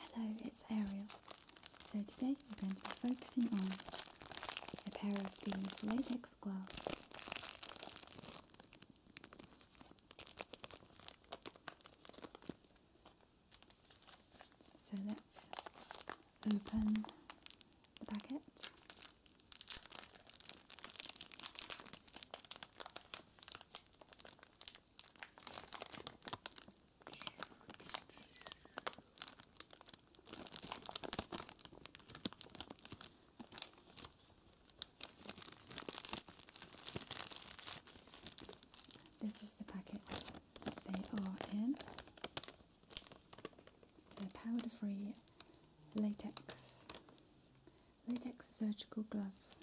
Hello, it's Ariel. So today we're going to be focusing on a pair of these latex gloves. So let's open the packet. This is the packet they are in. They're powder free latex. Latex surgical gloves.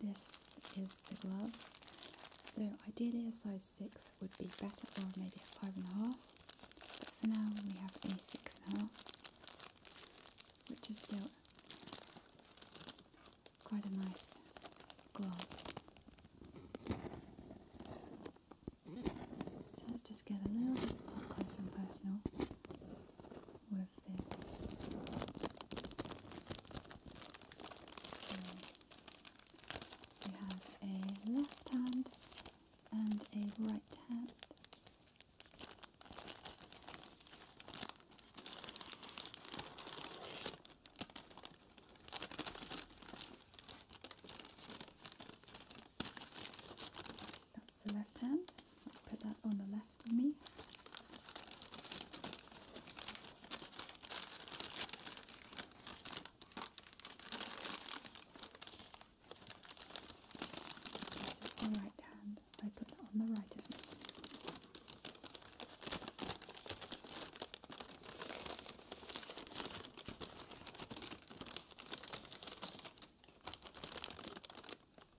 this is the gloves. So ideally a size 6 would be better or maybe a 5.5. But for now we have a 6.5 which is still quite a nice glove. So let's just get a little bit up close and personal with we have a left hand and a right hand. That's the left hand. i put that on the left of me. This is the right hand. I put that on the right of me.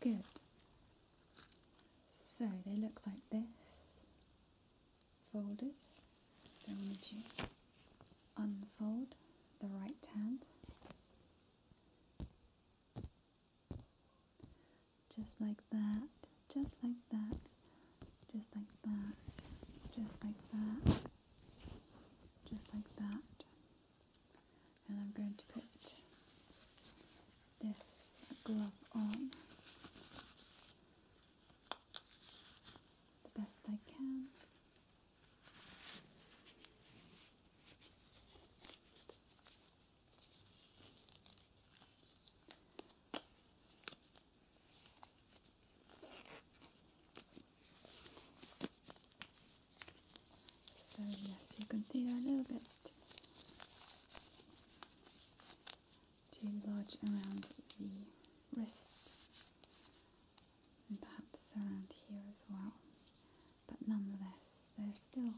Good. So they look like this, folded. So I need you unfold the right hand, just like that, just like that, just like that, just like that, just like that and I'm going to put this glove on the best I can. So yes, you can see they're a little bit too large around the wrist and perhaps around here as well. But nonetheless, they're still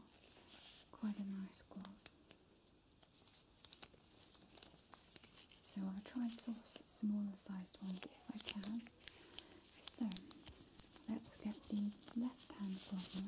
quite a nice glove. So I'll try and source smaller sized ones if I can. So let's get the left hand problem.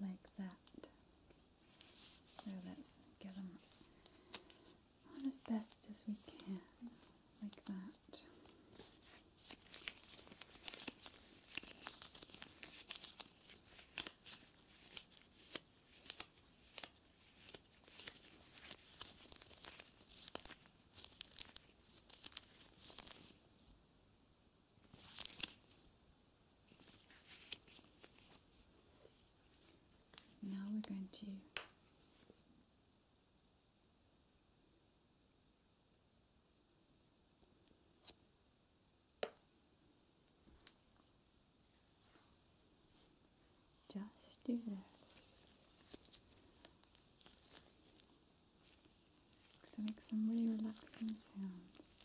like that. So let's get them on as best as we can, like that. Now we're going to just do this. So make some really relaxing sounds.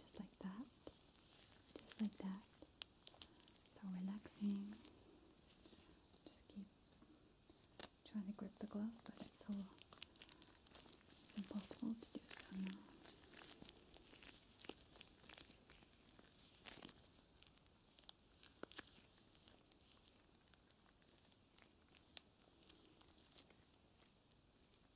Just like that. Just like that. So relaxing. Just keep trying to grip the glove, but it's so it's impossible to do so now.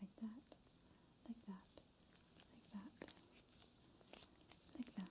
Like that, like that, like that, like that. Like that.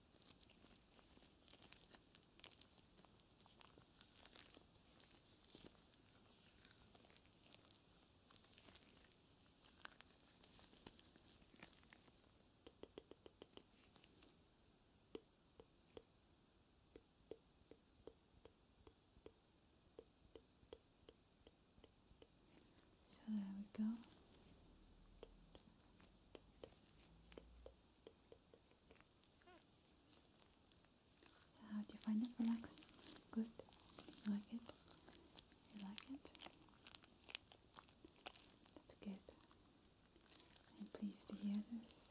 So there we go. So how do you find it relaxing? Good. You like it? You like it? That's good. I'm pleased to hear this.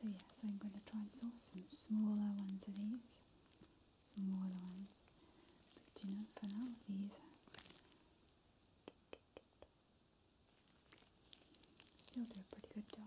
So yes, I'm going to try and source some smaller ones of these smaller ones. But you know, for now, these still do a pretty good job.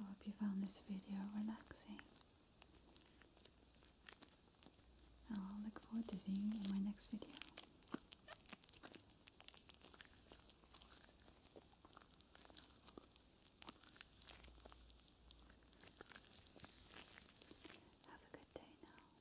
I hope you found this video relaxing. I'll look forward to seeing you in my next video. Have a good day now. Bye.